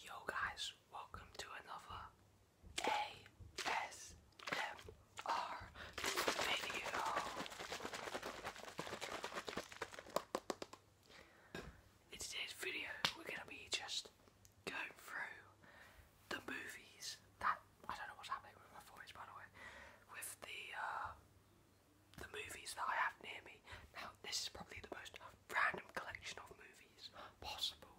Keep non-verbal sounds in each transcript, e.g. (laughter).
Yo guys, welcome to another ASMR video. In today's video, we're gonna be just going through the movies that I don't know what's happening with my voice, by the way, with the uh, the movies that I have near me. Now, this is probably the most random collection of movies possible,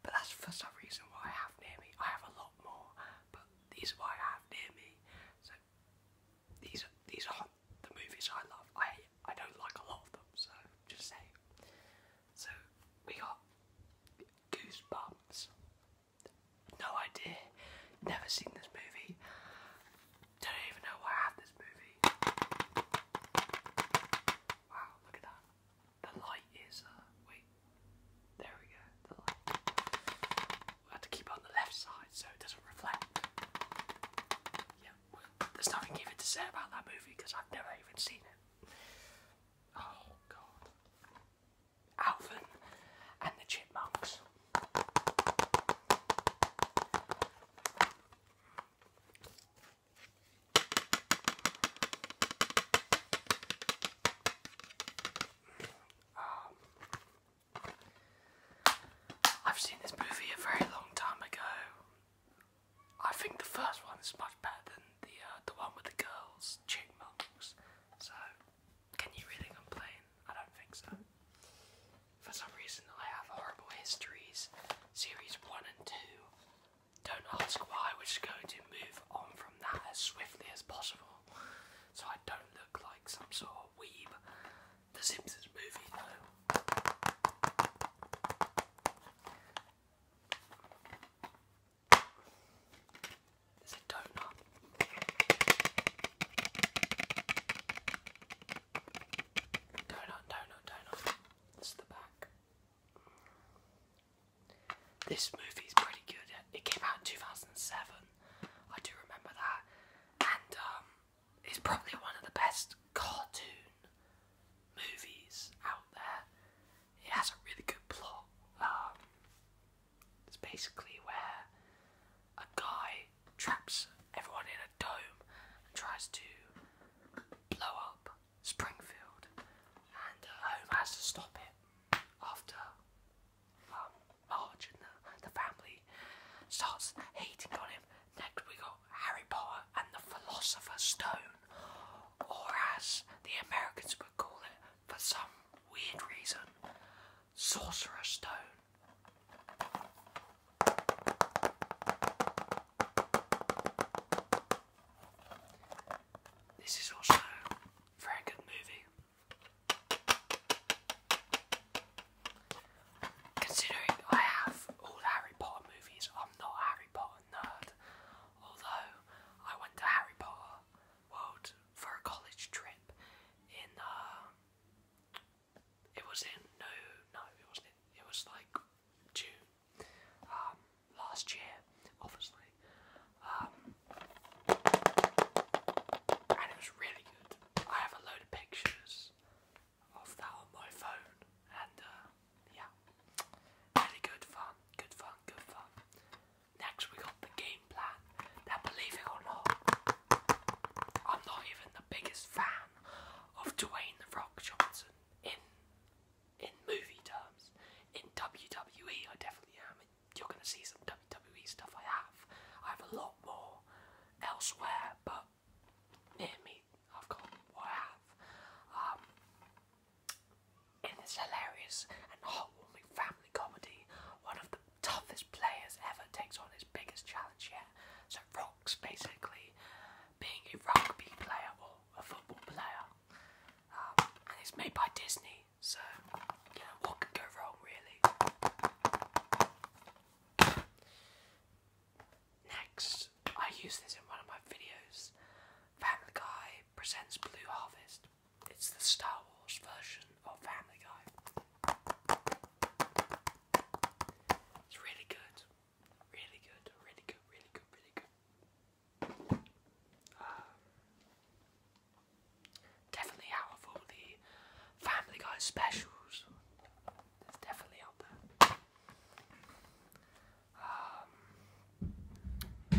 but that's for some reason why I have near me. I have a lot more, but these are what I have near me. So these are these are the movies I love. I I don't like a lot of them, so just say. So we got Goosebumps. No idea. Never seen this movie. Don't even know why I have this movie. Wow, look at that. The light is, uh, wait. There we go, the light. We have to keep it on the left side so it doesn't reflect. Yeah, there's nothing even to say about that movie because I've never even seen it. Oh, God. Alvin and the Chipmunks. Um, I've seen this movie a very long time ago. I think the first one is much better than the uh, the one with the girls, chick So, can you really complain? I don't think so. For some reason, I have horrible histories. Series 1 and 2. Don't ask why, we're just going to move on from that as swiftly as possible. So I don't look like some sort of weeb. The Simpsons movie, though. There's a donut. Down on, down on, down the back. This movie is pretty good. It came out in 2007. I do remember that. And um, it's probably one of the best cartoon movies out there. It has a really good plot. Um, it's basically where a guy traps everyone in a dome and tries to blow up Springfield. And uh, Home has to stop it after um, Marge and the, the family starts hating on him. Next we got Harry Potter and the Philosopher's Stone, or as the Americans would call it for some weird reason, Sorcerer's Stone. This is also very good movie. Considering I have all Harry Potter movies, I'm not Harry Potter nerd. Although I went to Harry Potter World for a college trip in uh, it was in no no it was in, it was like June um, last year obviously um, and it was really good. I have a load of pictures of that on my phone and uh, yeah really good fun good fun good fun. Next we got the game game believe it or not, I'm not even the biggest fan of Dwayne The Rock Johnson in in movie terms. In WWE, I definitely am. You're going to see some WWE stuff I have. I have a lot more elsewhere, but near me, I've got what I have. Um, in this hilarious and heartwarming family comedy, one of toughest players ever takes on his biggest challenge yet. So Rock's basically being a rugby player or a football player. Um, and it's made by Disney, so what could go wrong really. Next, I use this in one of my videos. Family Guy presents Blue Harvest. It's the Star Wars version of Family Guy. It's really good. Really good. Really good. Really good. Really good. Um, definitely out of all the Family Guy specials, it's definitely up there. Um,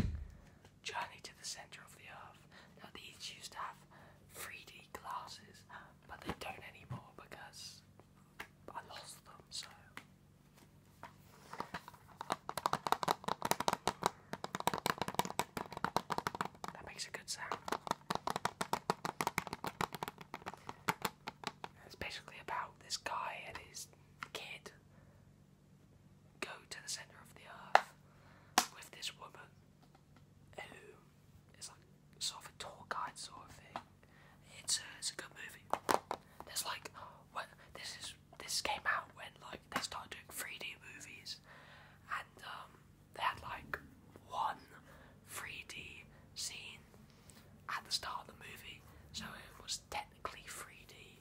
Journey to the Centre of the Earth. Now these used to have 3D glasses, but they don't anymore because I lost them, so. That makes a good sound. It's basically about this guy and his kid go to the center of the earth with this woman it's like sort of a tour guide sort of thing. It's a, it's a good movie. There's like when this is this came out when like they started doing 3D movies, and um, they had like one 3D scene at the start of the movie, so it was technically 3D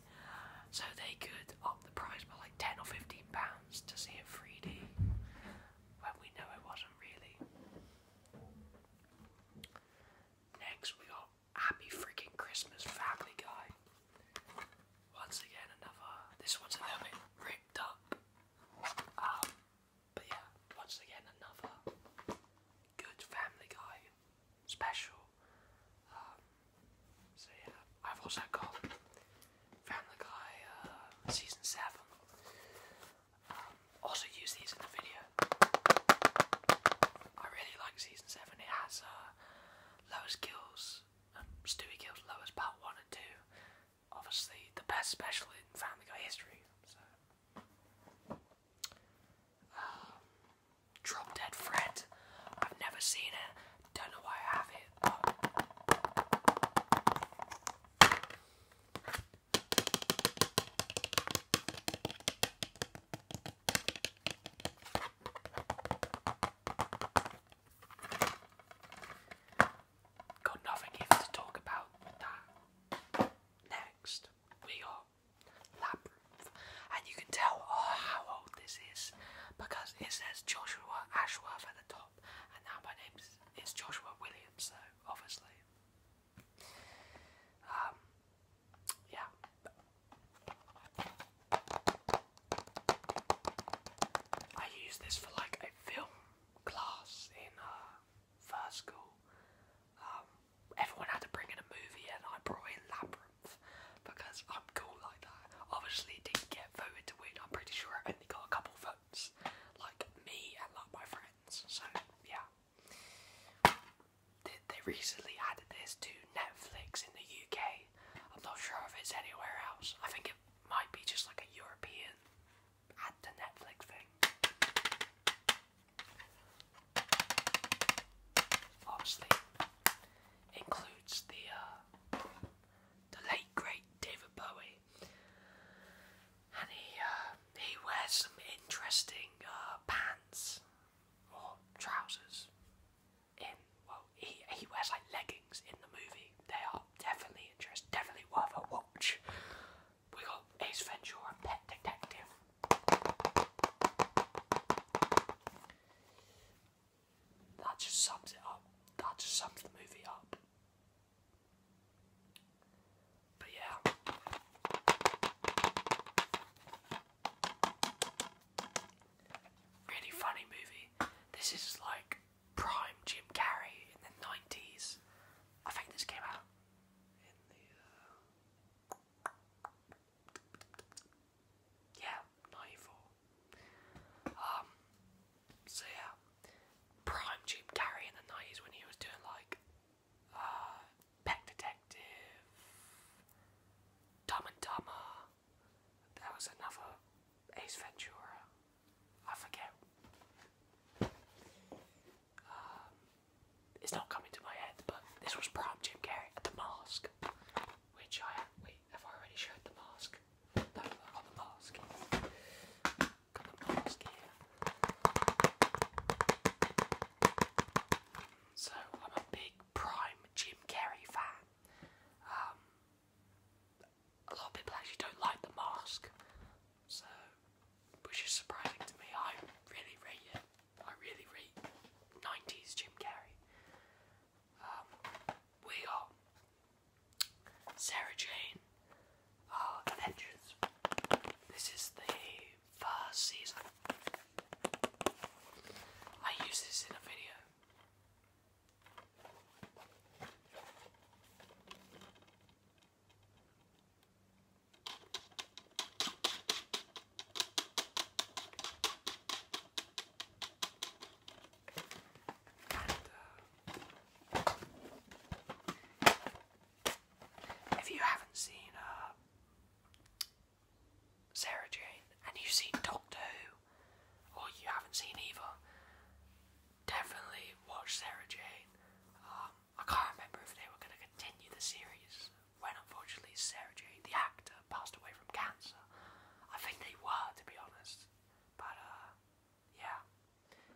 so they could up the price by like 10 or 15 pounds to see it 3D when we know it wasn't really. Next, we got Happy Freaking Christmas Family Guy. Once again, another. This one's a little bit ripped up. Um, but yeah, once again, another good Family Guy special. Um, so yeah, I've also got Family Guy uh, season seven. Um, also use these in the video. I really like season seven. It has uh, kills, um, Stewie kills Lois part one and two. Obviously, the best special in Family Guy history. Drop Dead Fred. I've never seen it. Don't know why I have it. Got nothing even to talk about Next, we got and you can tell oh, how old this is because it says Joshua Ashworth at the top, and now my name is Joshua Williams, so obviously. Um, yeah. I used this for like a film class in uh, first school. Um, everyone had to bring in a movie, and I brought in Labyrinth because I'm cool like that. Obviously, didn't get voted to win. I'm pretty sure I only got a couple votes, like me and like my friends. So yeah, they, they recently added this to Netflix in the UK. I'm not sure if it's anywhere else. I think it might be just like a European add to Netflix thing. Lastly, includes the uh, the late great David Bowie, and he uh, he wears some interesting uh, pants or trousers. In well, he he wears like leggings in the movie. They are definitely interesting, definitely worth a watch. We got Ace Ventura, Pet Detective. That just sums it up. That just sums the movie up. But yeah. Really funny movie. This is like prime Jim Carrey in the 90s. I think this came out yeah, 94. Um, so yeah, prime Jim Carrey in the 90s when he was doing like, uh, Peck Detective, Dumb and Dumber, there was another Ace Ventura, I forget. Um, it's not coming to my head, but this was Prime Jim Carrey at the mask, which I wait. Have I already showed the mask? the mask. Got the mask here. So I'm a big prime Jim Carrey fan. Um, a lot of people actually don't like the mask, so which is surprising to me. I really rate I really rate 90s Jim Carrey. Um, we got Sarah Jane uh, Adventures. This is the first season. I use this in a video. Uh, if you haven't seen uh, Sarah Jane and you've seen Doctor Who, or you haven't seen either, definitely watch Sarah Jane. Um, I can't remember if they were going to continue the series when unfortunately Sarah Jane, the actor, passed away from cancer. I think they were, to be honest. But, uh, yeah.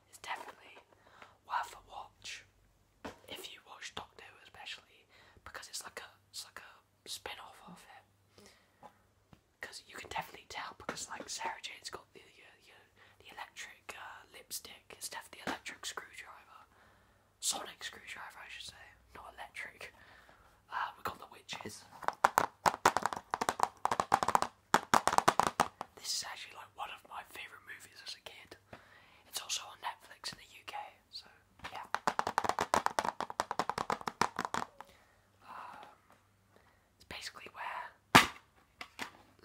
It's definitely worth a watch if you watch Doctor especially because it's like a it's like a spin-off of it. Because you can definitely tell because like Sarah Jane's got the uh, the, the electric uh, lipstick. It's definitely the electric screwdriver sonic screwdriver, I should say, not electric. Uh, we got the witches. This is actually like one of my favourite movies as a kid. It's also on Netflix in the UK, so yeah. Um, it's basically where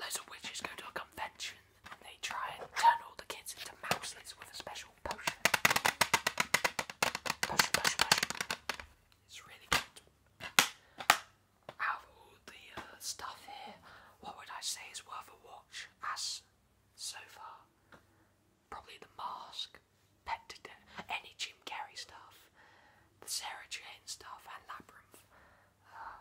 loads of witches go to a convention they try and turn all the kids into mouses with a special potion. It's really good. Out all the uh, stuff here, what would I say is worth a watch as so far? Probably the mask, pet any Jim Carrey stuff, the Sarah Jane stuff, and Labyrinth. Uh,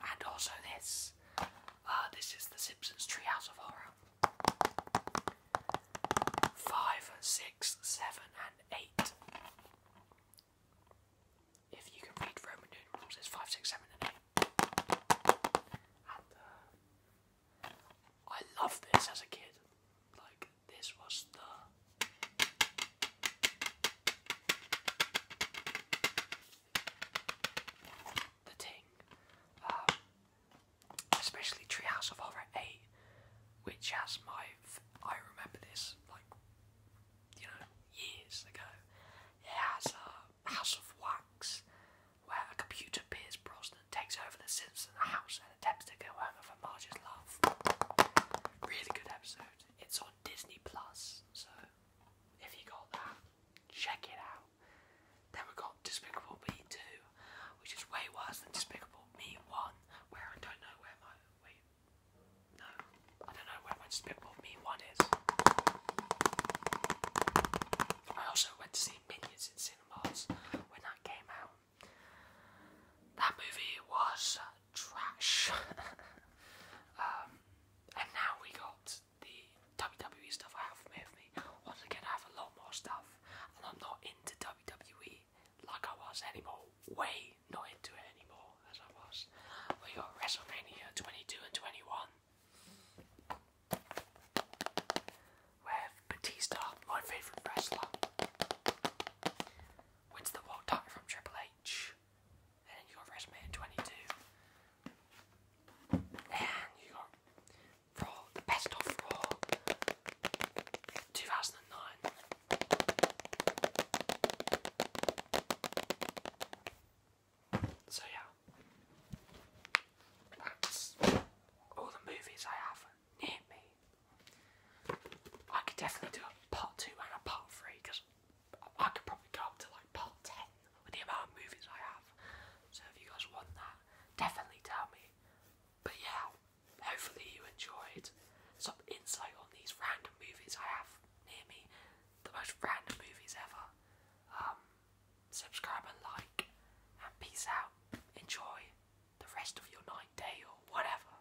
and also this. Uh, this is The Simpsons Treehouse of Horror. Five, six, seven, and eight. If you can read Roman numerals, it's five, six, seven, and eight. Uh, I loved this as a kid. Like this was the the thing. Um, especially Treehouse of Horror 8, which has my. I remember this, like, you know, years ago. It has a House of Wax, where a computer Piers Brosnan takes over the Simpson house and attempts to go home for Marge's love. Really good episode. It's on Disney Plus, so if you got that, check it out. Then we got Despicable Me 2, which is way worse than Despicable Me 1, where I don't know where my. Wait. No. I don't know where my Despicable Me 1 is. I also went to see Minions in cinemas when that came out. That movie was trash. (laughs) Um, and now we got the WWE stuff I have me. Once again, I have a lot more stuff, and I'm not into WWE like I was anymore. Way not into it anymore as I was. We got WrestleMania 22 and 21. With Batista, my favourite wrestler, wins the world title from Triple H. And you got WrestleMania 22. And you got best of Raw 2009. So yeah, that's all the movies I have near me. I could definitely do a part two and a part three because I could probably go up to like part 10 with the amount of movies I have. So if you guys want that, definitely tell me. But yeah, hopefully you enjoyed some insight on these random movies I have near me. The most random movies ever. Um, subscribe and like, and peace out. Enjoy the rest of your night, day, or whatever.